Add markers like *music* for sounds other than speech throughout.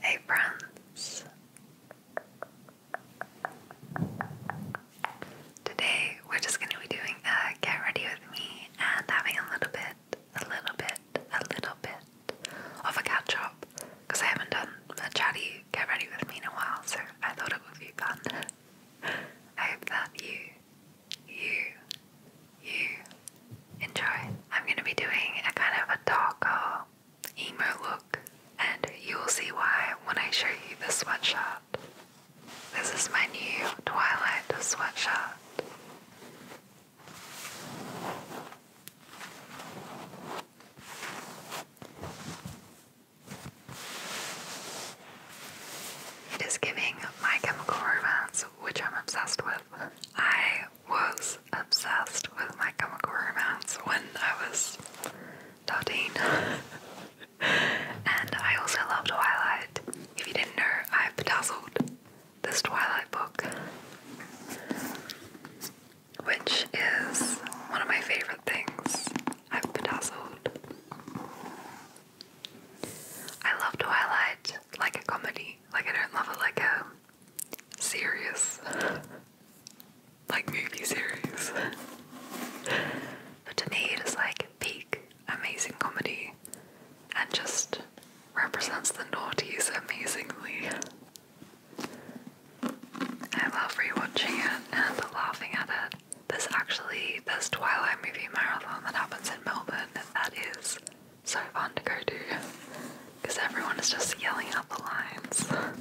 Hey friends! Today we're just going to be doing a get ready with me and having a little bit, a little bit, a little bit of a catch up because I haven't done a chatty get ready with me in a while so I thought it would be fun. *laughs* I hope that you, you, you enjoy. I'm going to be doing a kind of a taco emo look, and you'll see why when I show you the sweatshirt. This is my new Twilight sweatshirt. It is giving my chemical romance, which I'm obsessed with. I I was obsessed with My Chemical Romance when I was 13. and I also loved Twilight. If you didn't know, I've bedazzled this Twilight book, which is one of my favourite things. I've bedazzled. I love Twilight like a comedy. Like I don't love it like a serious, like movie series. but to me, it is like peak amazing comedy and just represents the Naughties amazingly. I love rewatching it and laughing at it. There's actually this Twilight movie marathon that happens in Melbourne that is so fun to go to because everyone is just yelling out the lines.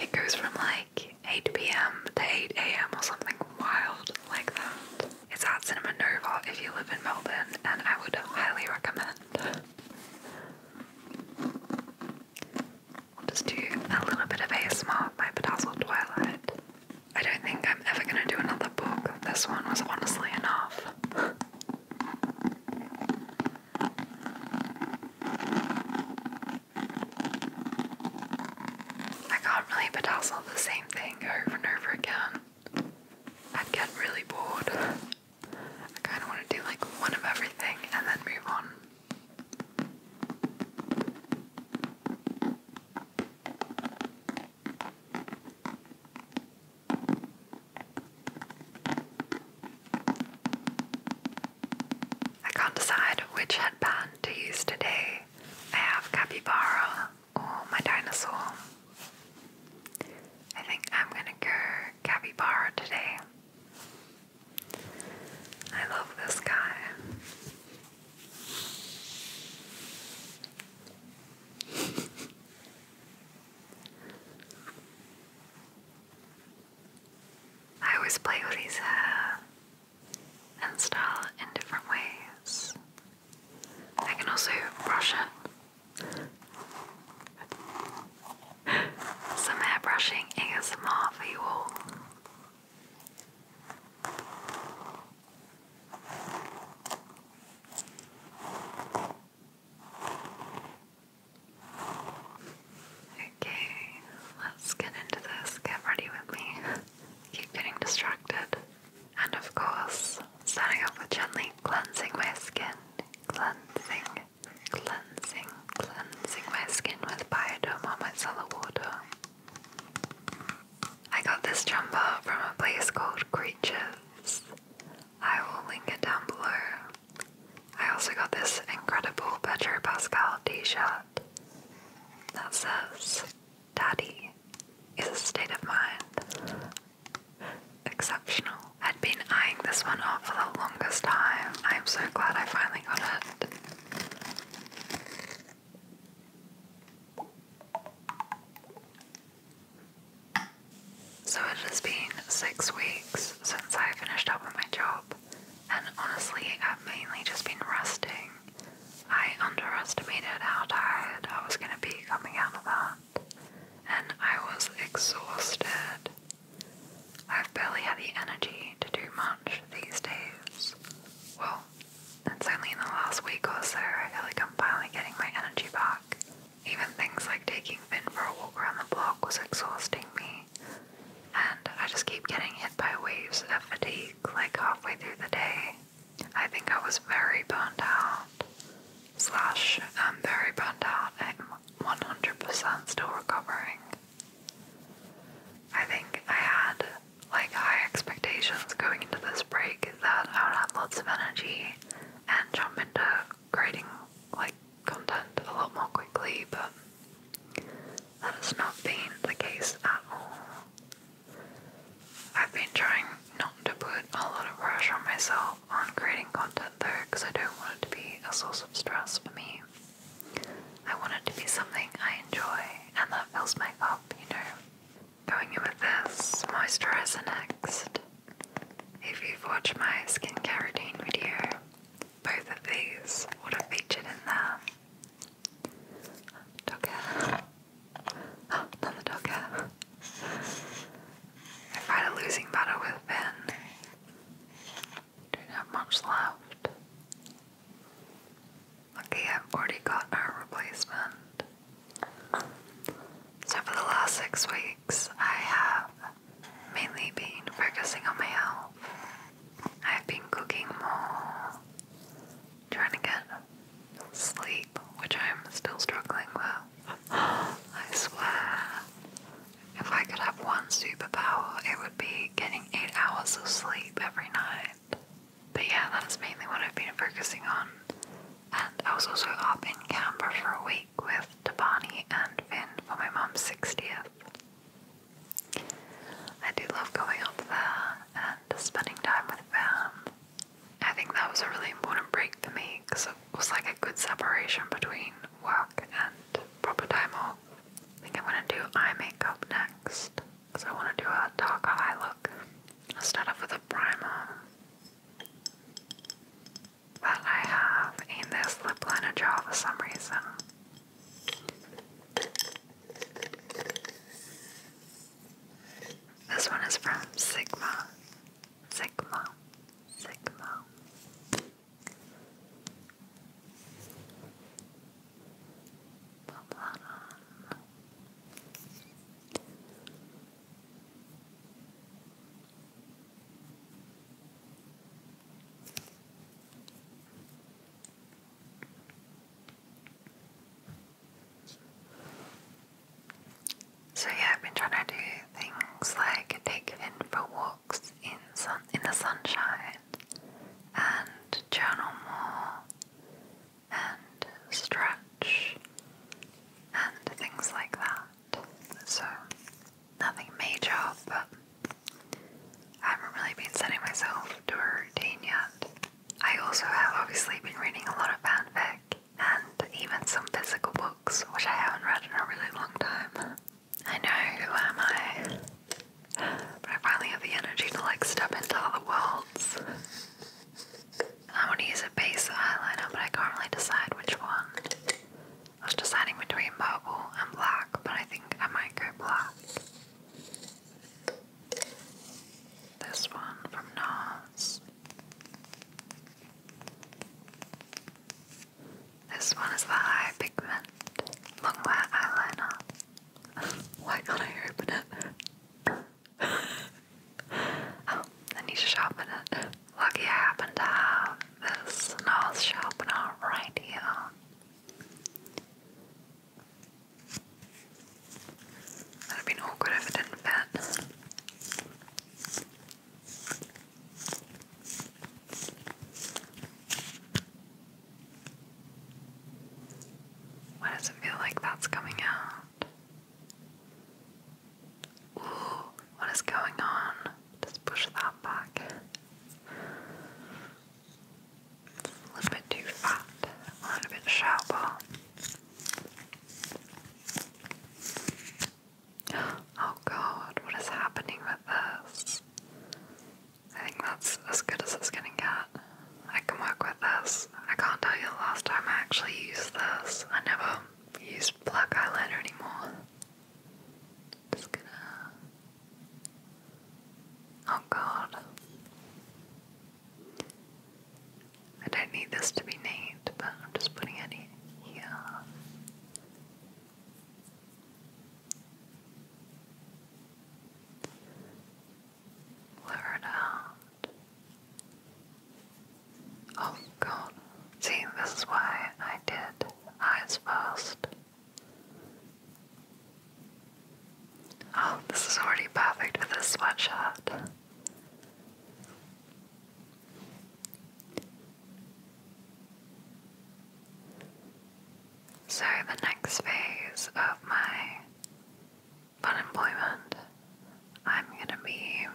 It goes from like 8 pm to 8 am or something wild like that. It's at Cinema Nova if you live in Melbourne, and I would highly recommend. We'll just do a little bit of ASMR by Bedazzled Twilight. I don't think I'm ever going to do another book. This one was honestly enough. I can't really bedazzle the same thing over and over again. i get really bored. I kind of want to do like one of everything and then move on. I can't decide which headband to use today. I have Capybara or my dinosaur. I think I'm gonna go Capybara today. I love this guy. *laughs* I always play with his hair uh, and style it in different ways. I can also brush it. Some hair brushing ASMR for you all. Okay, let's get into this. Get ready with me. Keep getting distracted. And of course, starting off with gently cleansing my skin. Cleansing, cleansing, cleansing my skin with Bioderm or micellar water. I got this jumper from a place called Creatures. I will link it down below. I also got this incredible Pedro Pascal t-shirt that says, Daddy is a state of mind. Exceptional. i have been eyeing this one off for the longest time. I am so glad I finally got it. So it has been six weeks since I finished up with my job, and honestly, I've mainly just been resting. I underestimated how tired I was going to be coming out of that, and I was exhausted. I've barely had the energy to do much these days. Well, that's only in the last week or so I feel like I'm finally getting my energy back. Even things like taking Finn for a walk around the block was exhausting me, and I just keep getting hit by waves of fatigue like halfway through the day. I think I was very burnt out. Slash, I'm very burnt out and 100% still recovering. I think I had like high expectations going into this break that I would have lots of energy and jump into creating like content a lot more quickly, but that has not been the case at all. I've been trying not to put a lot of pressure on myself on creating content though, because I don't want it to be a source of stress for me. I want it to be something I enjoy and that fills my up, you know. Going in with this moisturizer next. If you've watched my skincare routine video, both of these would have featured in there. Dog hair. Oh, *gasps* another dog hair. I fight a losing battle with Ben. Don't have much left. Lucky I've already got a replacement. So for the last six weeks, I have mainly been focusing on my health. I've been cooking more, trying to get sleep, which I'm still struggling with. *gasps* I swear. If I could have one superpower, it would be getting eight hours of sleep every night. But yeah, that's mainly what I've been focusing on. And I was also up in Canberra for a week with Tabani and Finn for my mom's 60th. I do love going up there and spending time with them. I think that was a really important break for me because it was like a good separation between work and proper time off. I think I'm going to do eye makeup next because I want to do a darker eye look. I'll start off with a primer that I have in this lip liner jar for some reason. This one is from Sigma. Sigma. Sigma. So yeah, I've been trying to do things like take in for walks in sun in the sunshine, and journal more, and stretch, and things like that so nothing major, but I haven't really been setting myself to a routine yet. I also have obviously been reading a lot of fanfic and even some physical books, which I haven't read in a really long time. I know, who am I? But I finally have the energy to like step into other worlds. I want to use a base eyeliner, but I can't really decide which one. I was deciding between purple and black, but I think I might go black. This one from NARS. This one is the high pigment longwear eyeliner. *laughs* Why can't I open it? *laughs* Oh, I need to sharpen it. Lucky I happen to have this nose sharpener right here. That'd have awkward if it didn't fit. Why does it feel like that's coming out? Ooh, what is going on? Just push that back. a little bit too fat, a little bit shallow. Oh god, what is happening with this? I think that's as good as it's gonna get. I can work with this. I can't tell you the last time I actually used this. I never use black eyeliner anymore. Just gonna. Oh god. I don't need this to be named, but I'm just putting it here. Blur it out. Oh god. See, this is why I did eyes first. Oh, this is already perfect for this sweatshirt. So, the next phase of my fun employment, I'm gonna be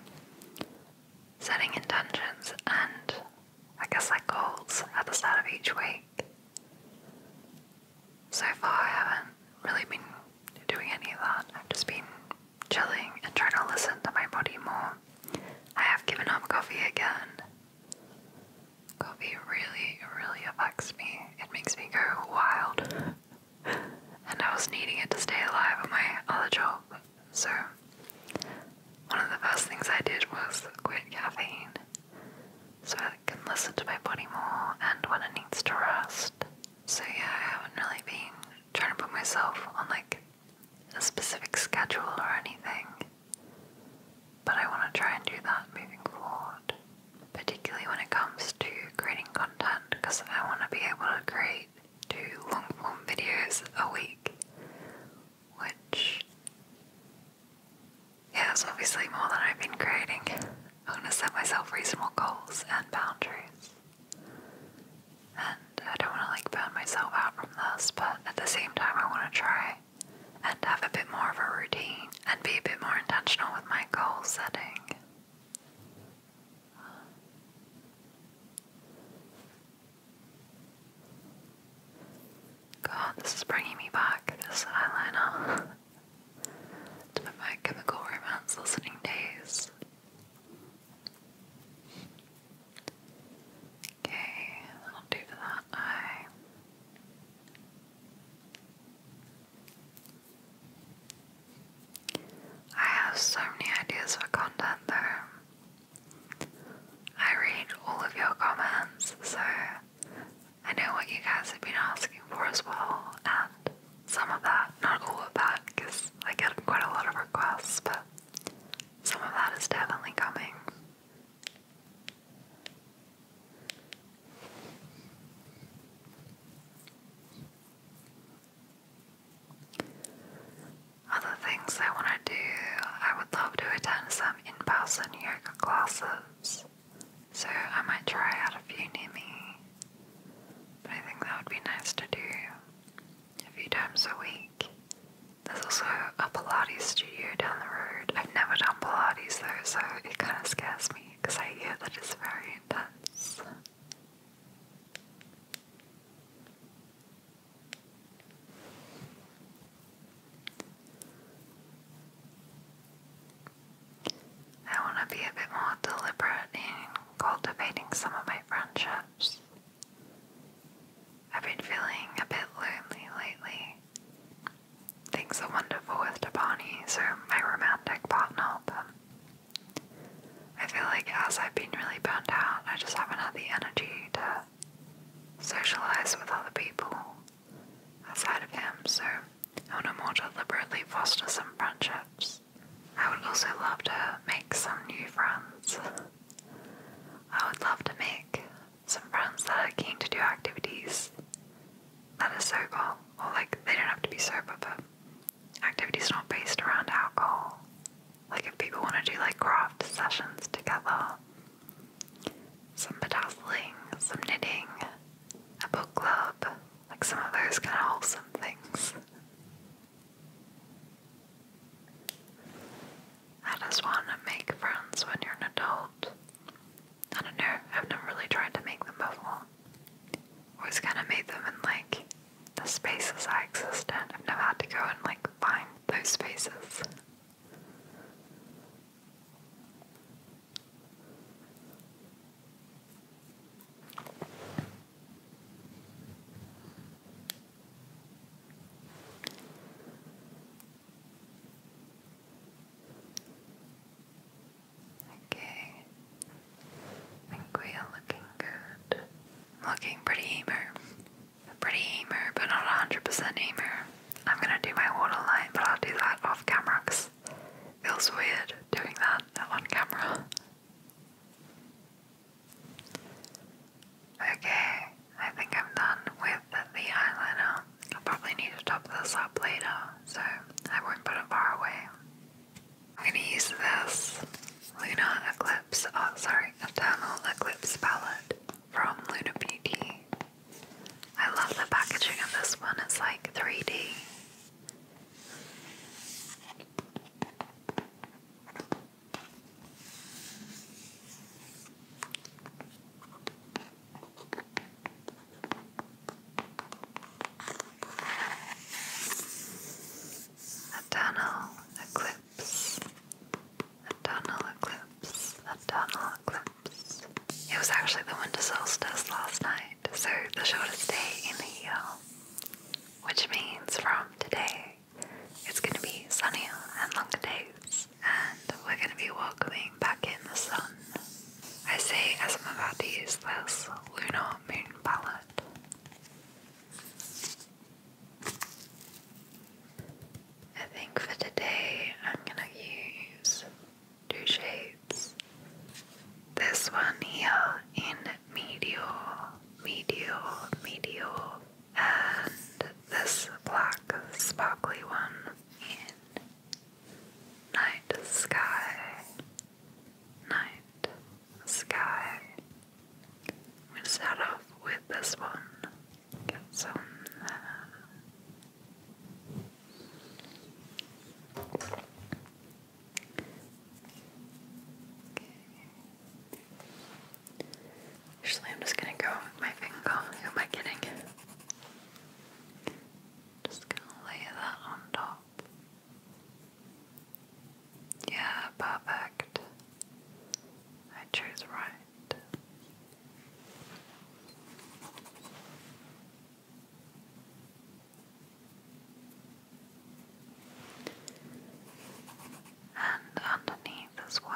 setting intentions and I guess like goals at the start of each week. So far, I haven't really been doing any of that. I've just been chilling and trying to listen to my body more. I have given up coffee again. Coffee really, really affects me. It makes me go wild. *laughs* and I was needing it to stay alive at my other job, so, one of the first things I did was quit caffeine so I can listen to my body more and when it needs to rest. So, yeah, I haven't really been trying to put myself on like a specific schedule or anything, but I want to try and do that moving forward, particularly when it comes to creating content because I want to be able to create two long form videos a week which yeah, it's obviously more than I've been creating. I'm gonna set myself reasonable goals and boundaries. And I don't wanna like burn myself out from this, but at the same time I wanna try and have a bit more of a routine and be a bit more intentional with my goal setting. God, this is bringing me back, this eyeliner. *laughs* to my chemical romance listening days. Okay, that'll do that I have so many ideas for content though. I read all of your comments, so I know what you guys have been asking for as well, and some of that, not all of that, because I get quite a lot of requests, but some of that is definitely coming. Other things I want to do, I would love to attend some in person yoga classes, so I might try out a few near me. But I think that would be nice to do a few times a week. There's also a Pilates studio down the road. I've never done Pilates though, so it kind of scares me because I hear that it's very intense. I want to be a bit more deliberate in cultivating some of my friendships. I've been feeling a bit lonely lately. Things are wonderful with Tabani, so my romantic partner, but I feel like as I've been really burnt out, I just haven't had the energy to socialize with other people outside of him, so I want to more deliberately foster some friendships. I would also love to make some new friends. I would love to make some friends that are keen to do activities that are sober, or like they don't have to be sober, but activities not based around alcohol. Like if people want to do like craft sessions together, some bedazzling, some knitting, a book club, like some of those kind of wholesome things. I just want to make friends when you're an adult. I don't know, I've never really tried to make them before. Always kind of made them in like the spaces I exist in. I've never had to go and like find those spaces. Okay, I think we are looking good. Looking pretty emer. Pretty emu, but not 100% emu. I'm gonna do my waterline, but I'll do that off camera because feels weird doing that on camera. Okay, I think I'm done with the eyeliner. I'll probably need to top this up later, so I won't put it far away. I'm gonna use this Luna Eclipse, oh sorry, Eternal Eclipse palette from Lunar Beauty. I love the packaging of this one, it's like 3D. A tunnel, a cliff a tunnel eclipse, a tunnel eclipse. It was actually the winter solstice last night, so the shortest day in the year, which means from today it's going to be sunny and longer days, and we're going to be welcoming back in the sun. I say as I'm about to use this lunar moon palette. I think for today I'm going to use two shades. This one here in Meteor, Meteor, Meteor, and this black sparkly one in Night Sky, Night Sky. i start off with this one get I'm just gonna go with my finger. Who am I kidding? Just gonna lay that on top. Yeah, perfect. I chose right and underneath as well.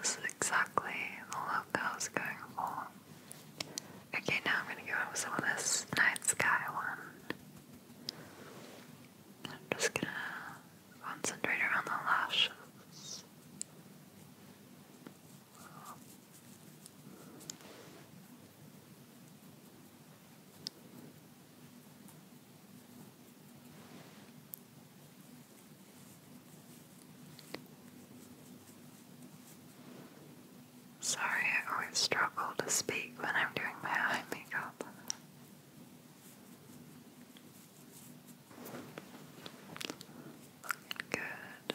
This is exactly the look I was going for. Okay, now I'm going to go in with some of this night sky one. I'm just going to concentrate around the lashes. Sorry, I always struggle to speak when I'm doing my eye makeup. Good.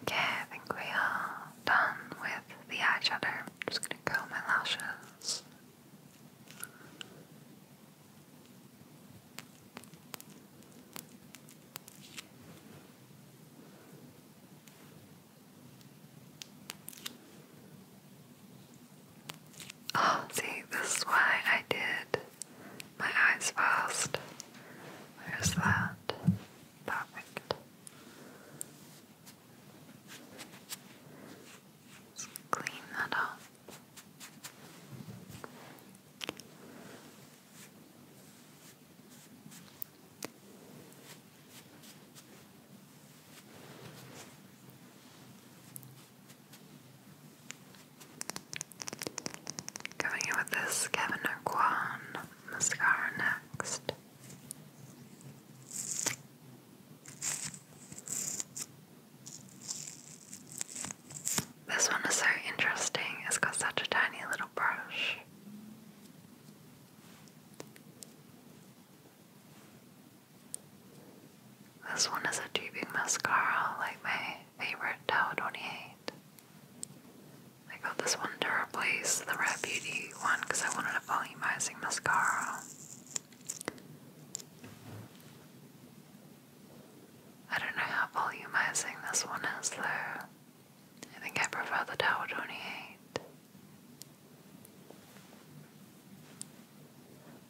Okay, I think we are done with the eyeshadow. I'm just gonna curl my lashes. Oh, see, this is why I did my eyes fast. Where's that? Perfect. Let's clean that up. Going in with this Kevin O'Quan mascara next. This one is so interesting, it's got such a tiny little brush. This one is a tubing mascara, like me favorite Tower 28. I got this one to replace the Rare Beauty one because I wanted a volumizing mascara. I don't know how volumizing this one is though. I think I prefer the Tower 28.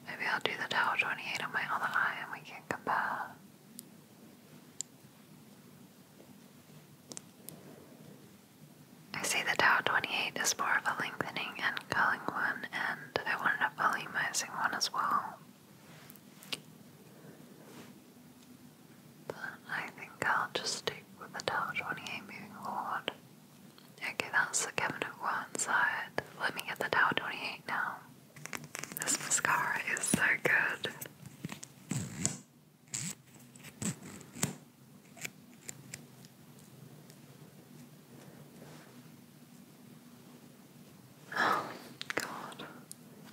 Maybe I'll do the Tower 28 on my other eye and we can compare. I see the Tau 28 is more of a lengthening and culling one, and I wanted a volumizing one as well. But I think I'll just stick with the Tau 28 moving forward. Okay, that's the cabinet one side. Let me get the Tau 28 now. This mascara is so good. Oh, God.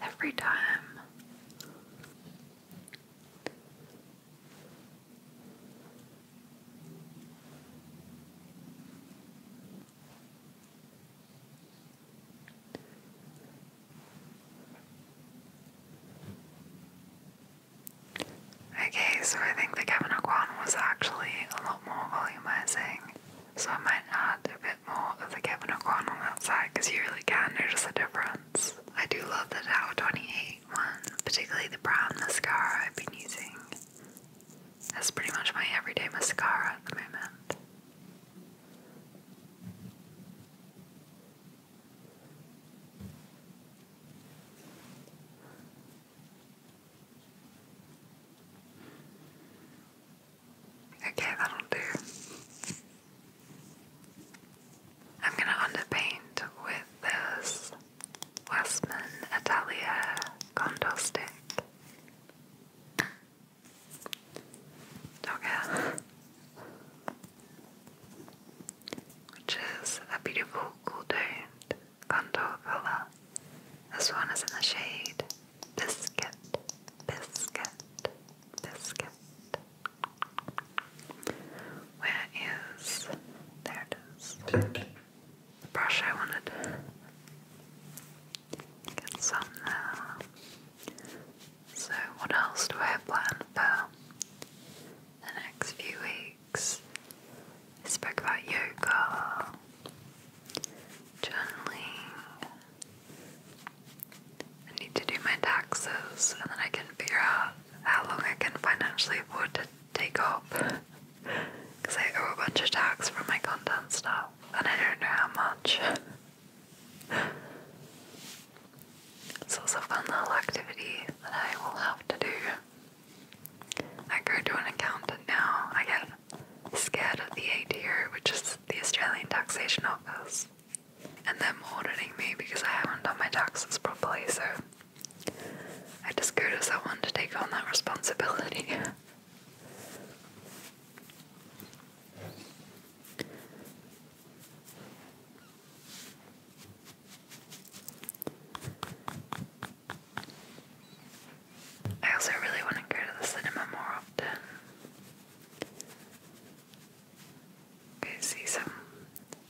Every time. Okay, so I think the Kevin one was actually a lot more volumizing, so I might add a bit more of the Kevin one on that side because you really can notice the difference. I do love the Tower 28 one, particularly the brown mascara I've been using. That's pretty much my everyday mascara at the moment. Okay, that'll do. I'm going to underpaint with this Westman Italia contour dog which is a beautiful cool toned contour colour. This one is in the shade Biscuit, Biscuit, Biscuit. Where is there it is the brush I wanted. Get some there. So, what else do I have planned for the next few weeks? spoke about yoga, journaling. I need to do my taxes and then I can figure out how long I can financially afford to take off. Because *laughs* I owe a bunch of tax for my content stuff and I don't know how much. *laughs* It's also a fun little activity that I will have to do. I go to an accountant now. I get scared of the ATO, which is the Australian Taxation Office, and they're auditing me because I haven't done my taxes properly, so I just go to someone to take on that responsibility. *laughs* I also really want to go to the cinema more often. see some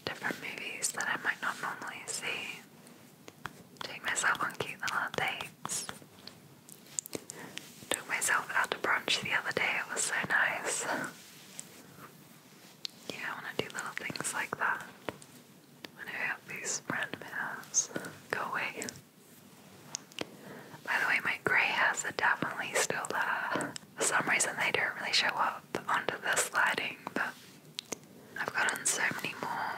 different movies that I might not normally see. Take myself on cute little dates. Took myself out to brunch the other day, it was so nice. yeah, I want to do little things like that. When these random hairs go away. By the way, my grey hairs are definitely still there. For some reason, they don't really show up onto the sliding, but I've gotten so many more.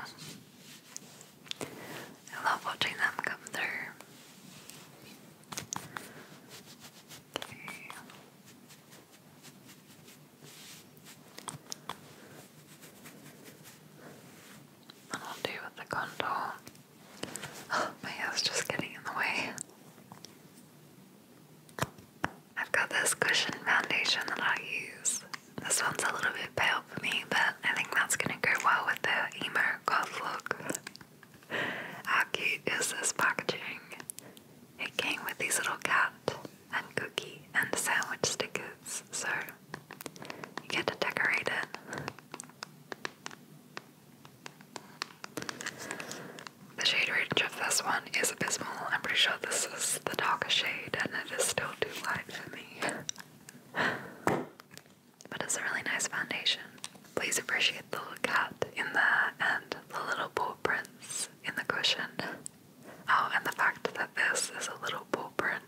I love watching them come through. And I'll do the contour. Oh, my hair's just getting in the way. I've got this cushion foundation that I use. This one's a little bit pale for me, but I think that's gonna go well with the emo look. How cute is this packaging? It came with these little cat and cookie and sandwich stickers, so you get to decorate it. The shade range of this one is abysmal. I'm pretty sure this is the darker shade, and it is still too light for me but it's a really nice foundation. Please appreciate the little cat in there and the little paw prints in the cushion. Oh, and the fact that this is a little paw print.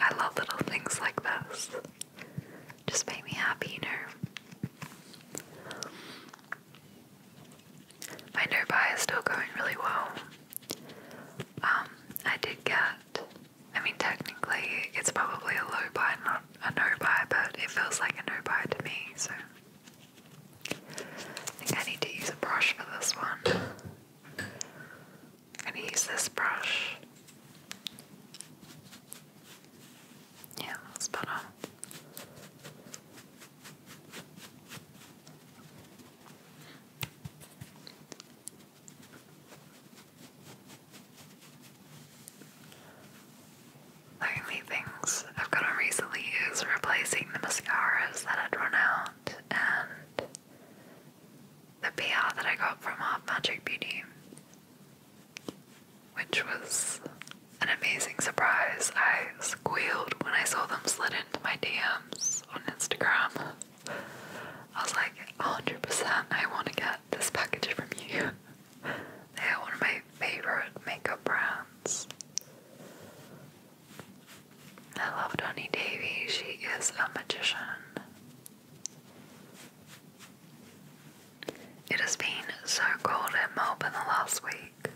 I love little things like this. Just make me happy, you know. My no buy is still going really well. Um, I did get I mean, technically, it's probably a low buy, not a no buy, but it feels like a no buy to me, so. I think I need to use a brush for this one. I'm gonna use this brush. Yeah, that's better. The only things I've got on recently is replacing the mascaras that had run out and the PR that I got from Art Magic Beauty, which was an amazing surprise. I squealed when I saw them slid into my DMs on Instagram. I was like, 100% I want to get this package from you. *laughs* They're one of my favorite makeup brands. I love Honey Davy, she is a magician. It has been so cold at Melbourne the last week.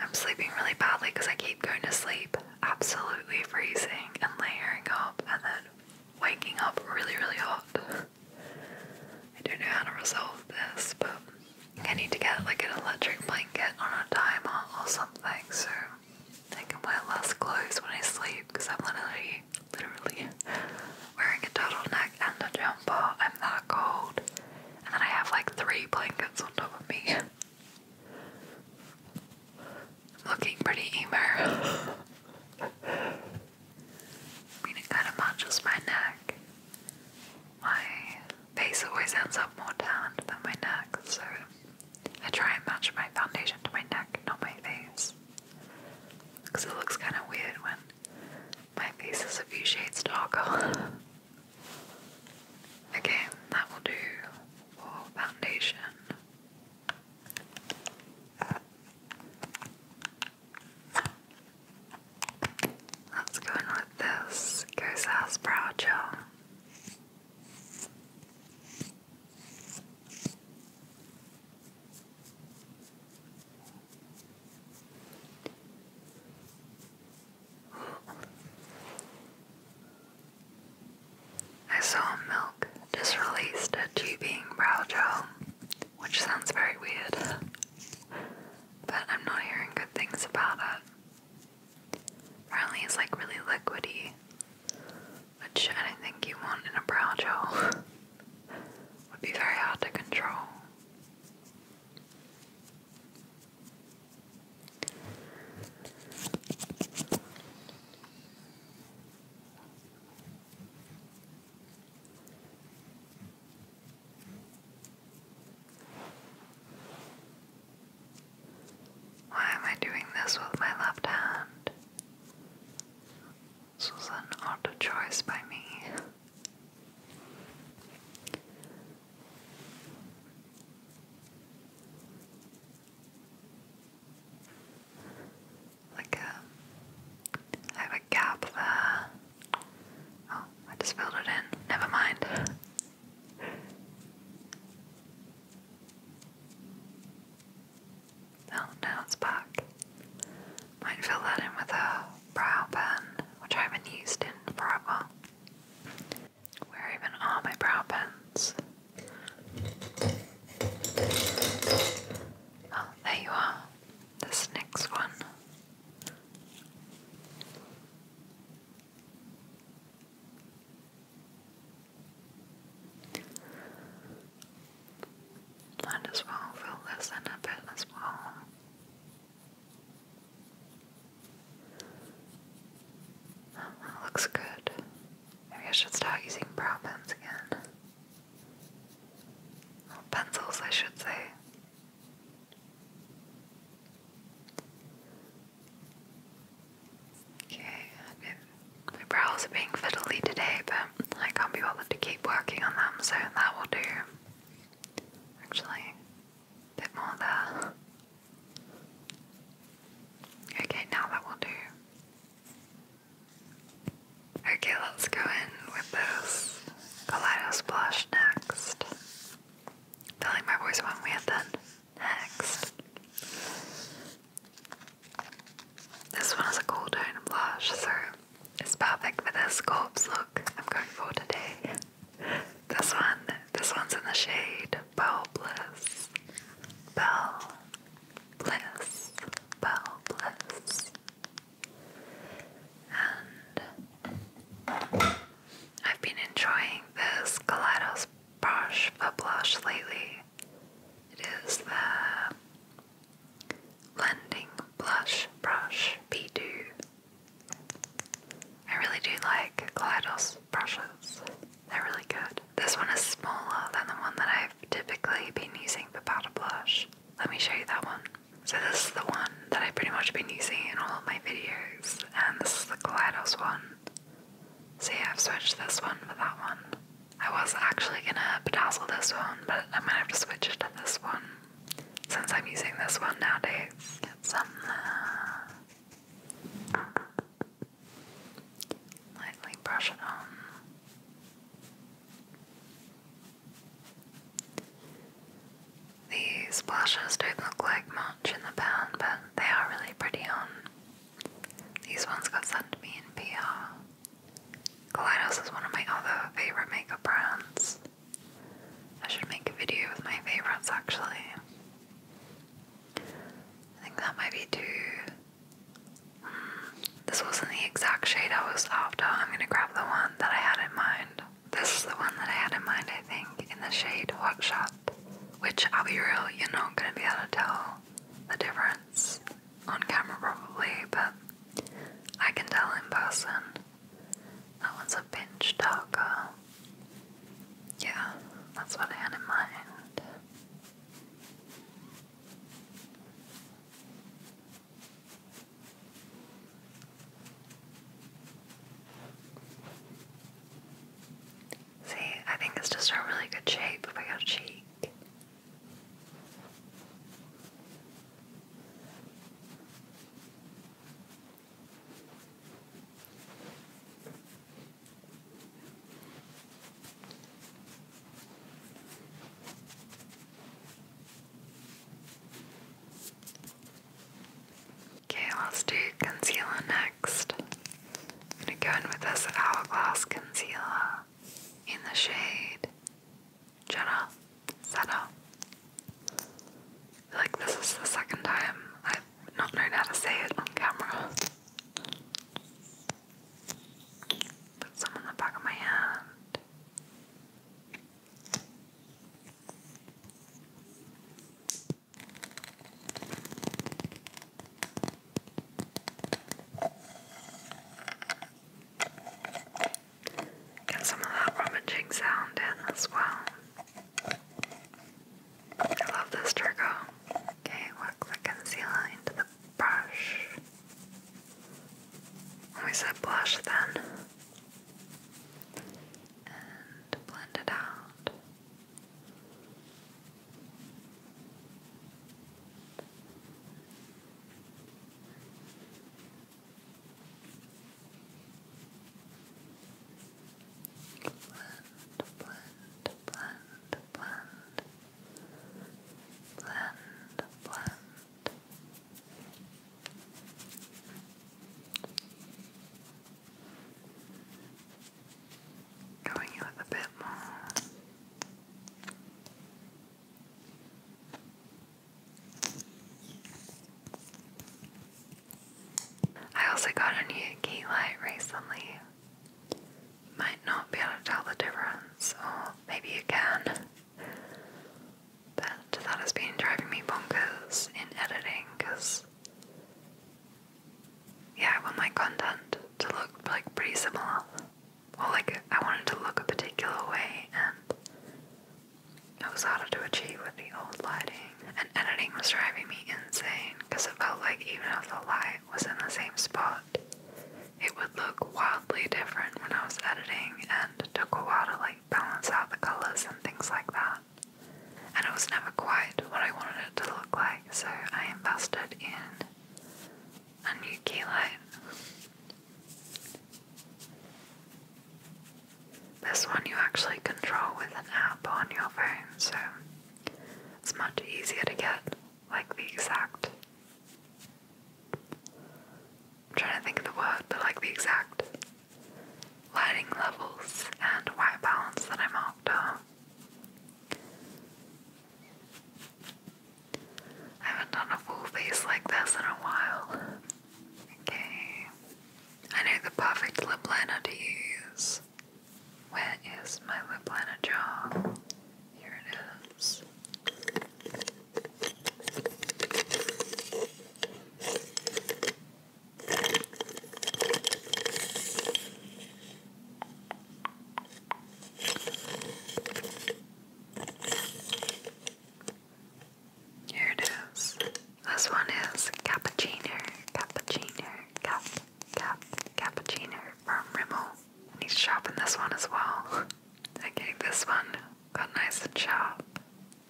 I'm sleeping really badly because I keep going to sleep absolutely freezing and layering up and then waking up really, really hot. I don't know how to resolve this, but I need to get like an electric blanket on a timer or something so I can wear less clothes when I sleep because I'm literally, literally wearing a turtleneck and a jumper. I'm that cold. And then I have like three blankets on top of me. *laughs* looking pretty emo. *laughs* I kind of matches my neck. My face always ends up more tan than my neck, so I try and match my foundation to my neck, not my face. Because it looks kind of weird when my face is a few shades darker. okay, *laughs* that will do for foundation. Let's go with this Ghost House Brow Gel. I saw Milk just released a tubing brow gel which sounds very weird, but I'm not hearing good things about it. Apparently, it's like really liquidy, which I you want in a brow gel. Would be very hard to control. Why am I doing this with my left hand? This was an auto choice by me like a, um, I have a gap there. Oh, I just filled it in. Never mind. Oh, now it's back. Might fill that in with a brow pen, which I haven't used in forever. Where even are my brow pens? Oh, there you are this next one. Might as well fill this in a bit as well. that looks good. Maybe I should start using brow pens again pencils, I should say. Okay, my brows are being fiddly today, but I can't be bothered to keep working on them, so that will do. Actually, a bit more there. Okay, now that will do. Okay, let's go in with this Kaleido Splash next. Telling my voice one we had done next. This one is a cool tone blush, so it's perfect for this corpse look I'm going for today. This one, this one's in the shade Bell Bliss. Bell Bliss. Bell Bliss. I've been enjoying this Kaleidos brush for blush lately. It is the Blending Blush Brush P2. I really do like Kaleidos brushes. They're really good. This one is smaller than the one that I've typically been using for powder blush. Let me show you that one. So this is the one that I've pretty much been using in all my videos, and this is the Kaleidos one. So I've switched this one for that one. I was actually gonna bedazzle this one, but I'm gonna have to switch it to this one. Since I'm using this one nowadays. Get some uh, Lightly brush it on. These blushes don't look like much in the pan, but they are really pretty on. These ones got sent to me in PR. Kaleidos is one of my other favourite makeup brands. I should make a video with my favourites actually. I think that might be too this wasn't the exact shade I was after. I'm gonna grab the one that I had in mind. This is the one that I had in mind, I think, in the shade workshop, Which, I'll be real, you're not gonna be able to tell the difference on camera probably, but I can tell in person. That one's a pinch darker. Yeah, that's what I had in mind. See, I think it's just a really good shape of your cheek. Okay, let's do concealer next. going to go in with this Hourglass Concealer in the shade Jenna Senna. like this is the second time I've not known how to say it on camera. Put some on the back of my hand. Get some of that rummaging sound in as well. I love this trick. Okay, work the concealer into the brush. We said blush then and blend it out. blend, blend, blend, blend, blend, blend, Going in a bit more. I also got a new key light recently. Might not be able to tell the difference, or maybe you can. But that has been driving me bonkers in editing because, yeah, I want my content to look like pretty similar, or like I want to look a particular way, and it was hard to achieve with the old lighting. And editing was driving me insane because it felt like even if the light was in the same spot, it look wildly different when I was editing and took a while to like balance out the colors and things like that. And it was never quite what I wanted it to look like, so I invested in a new key light. This one you actually control with an app on your phone, so it's much easier to get like the exact I'm trying to think of the word, but like the exact lighting levels and white balance that I'm I haven't done a full face like this in a while. Okay. I know the perfect lip liner to use. Where is my lip liner jar? Here it is. Here it is. This one is cappuccino, cappuccino, cap, cap, cappuccino from Rimmel. I need to shop in this one as well. *laughs* I Okay, this one got nice and sharp.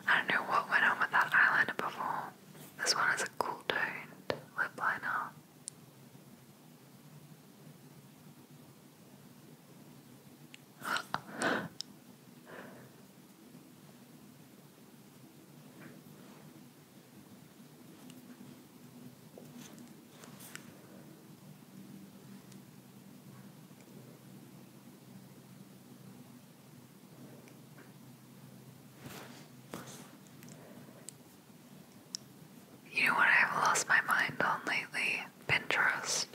I don't know what went on with that eyeliner before. This one is a cool toned lip liner. *laughs* You know what I've lost my mind on lately? Pinterest.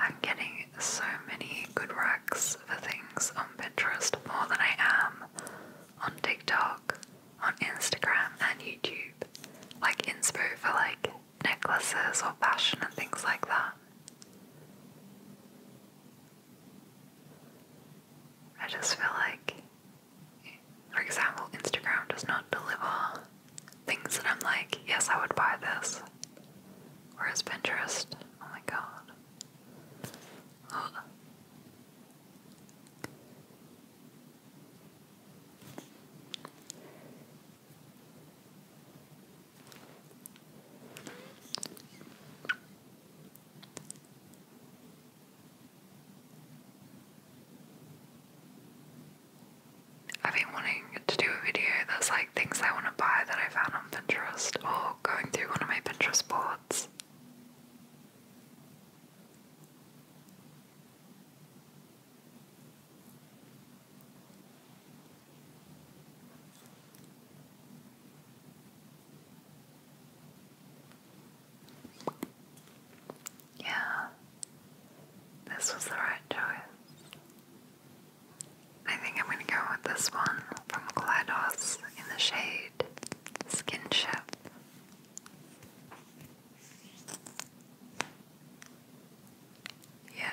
I'm getting so many good racks for things on Pinterest more than I am on TikTok, on Instagram, and YouTube. Like inspire for like necklaces or fashion and things like that. I just feel like, for example, Instagram does not deliver things that I'm like, yes, I would buy this. Whereas Pinterest, oh my god. I've been wanting to do a video that's like things I want to buy that I found on Pinterest or going through one of my Pinterest boards. Yeah, this was the right choice. I think I'm going to go with this one from Glados in the shade Skinship. Yeah,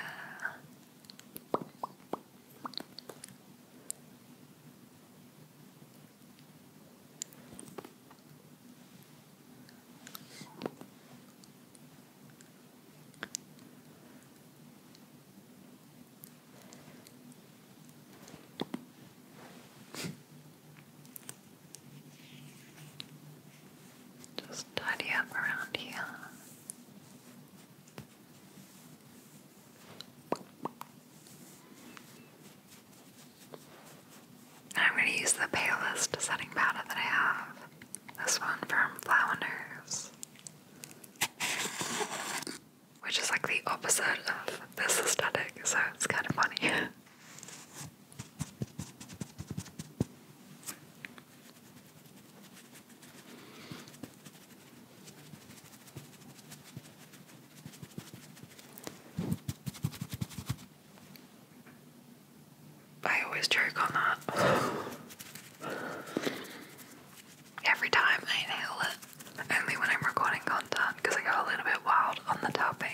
just tidy up around here. I'm going to use the palest setting powder that I have. This one from Flounders, which is like the opposite of this aesthetic, so it's kind of funny. *laughs* I always joke on that. Every time I nail only when I'm recording content because I go a little bit wild on the topic.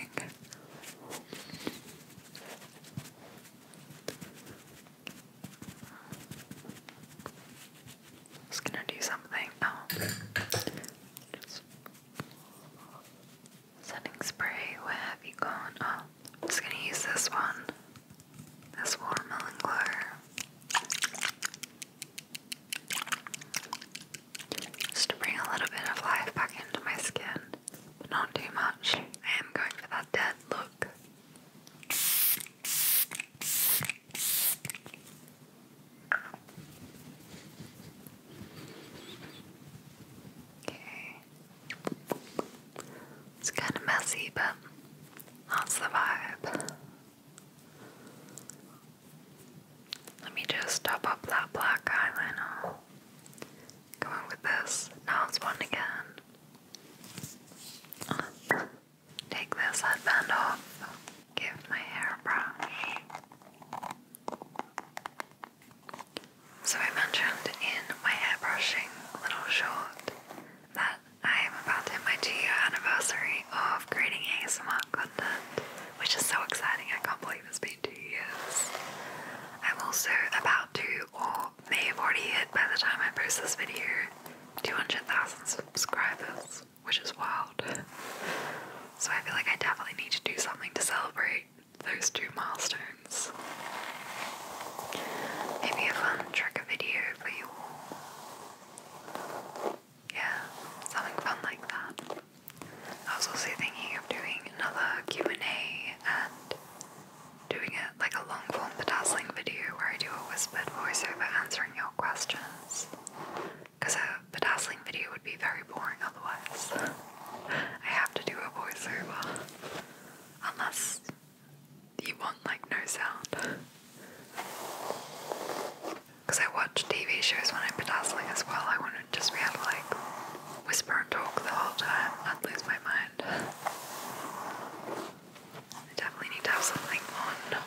Just gonna do something. Oh. setting spray, where have you gone? Oh, I'm just gonna use this one. This watermelon glow. Just to bring a little bit of life back into my skin, but not too much. I am going for that dead look. It's kind of messy, but that's the vibe. Let me just top up that black eyeliner. Going with this. Now it's one again. Take this headband off. Give my hairbrush. So I mentioned in my hairbrushing little short that I am about to hit my two-year anniversary of creating ASMR content, which is so exciting. I can't believe it's been two years. I'm also about to, or may have already hit by the time I post this video 200,000 subscribers, which is wild. So I feel like I definitely need to do something to celebrate those two milestones. Maybe a fun trigger video for you all. Yeah, something fun like that. I was also thinking of doing another Q&A and doing it like a long form bedazzling video where I do a whispered voiceover answering your questions. Because a bedazzling video would be very boring otherwise. I have to do a voiceover. Unless you want like no sound. Because I watch TV shows when I'm bedazzling as well. I wouldn't just be able to like whisper and talk the whole time. i lose my mind. I definitely need to have something on.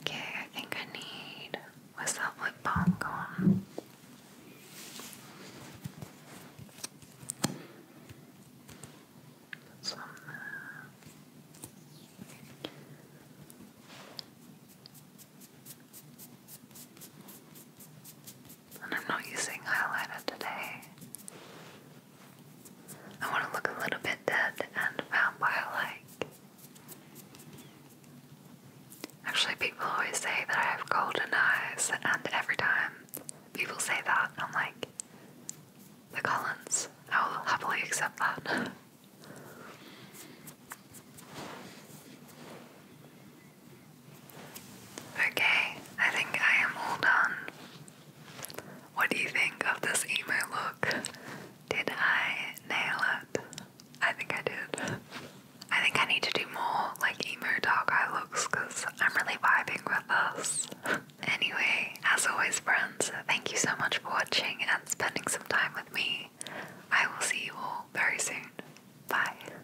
Okay, I think I need. What's that lip balm going? That's and I'm not using highlighter today. I want to look a little bit dead and vampire-like. Actually, people always say that I have golden eyes, and every time people say that, I'm like, the Collins, I will happily accept that. *laughs* Okay, I think I am all done. What do you think of this emo look? Did I nail it? I think I did. I think I need to do more like emo dark eye looks because I'm really vibing with us. anyway, as always, friends, thank you so much for watching and spending some time with me. I will see you all very soon. Bye.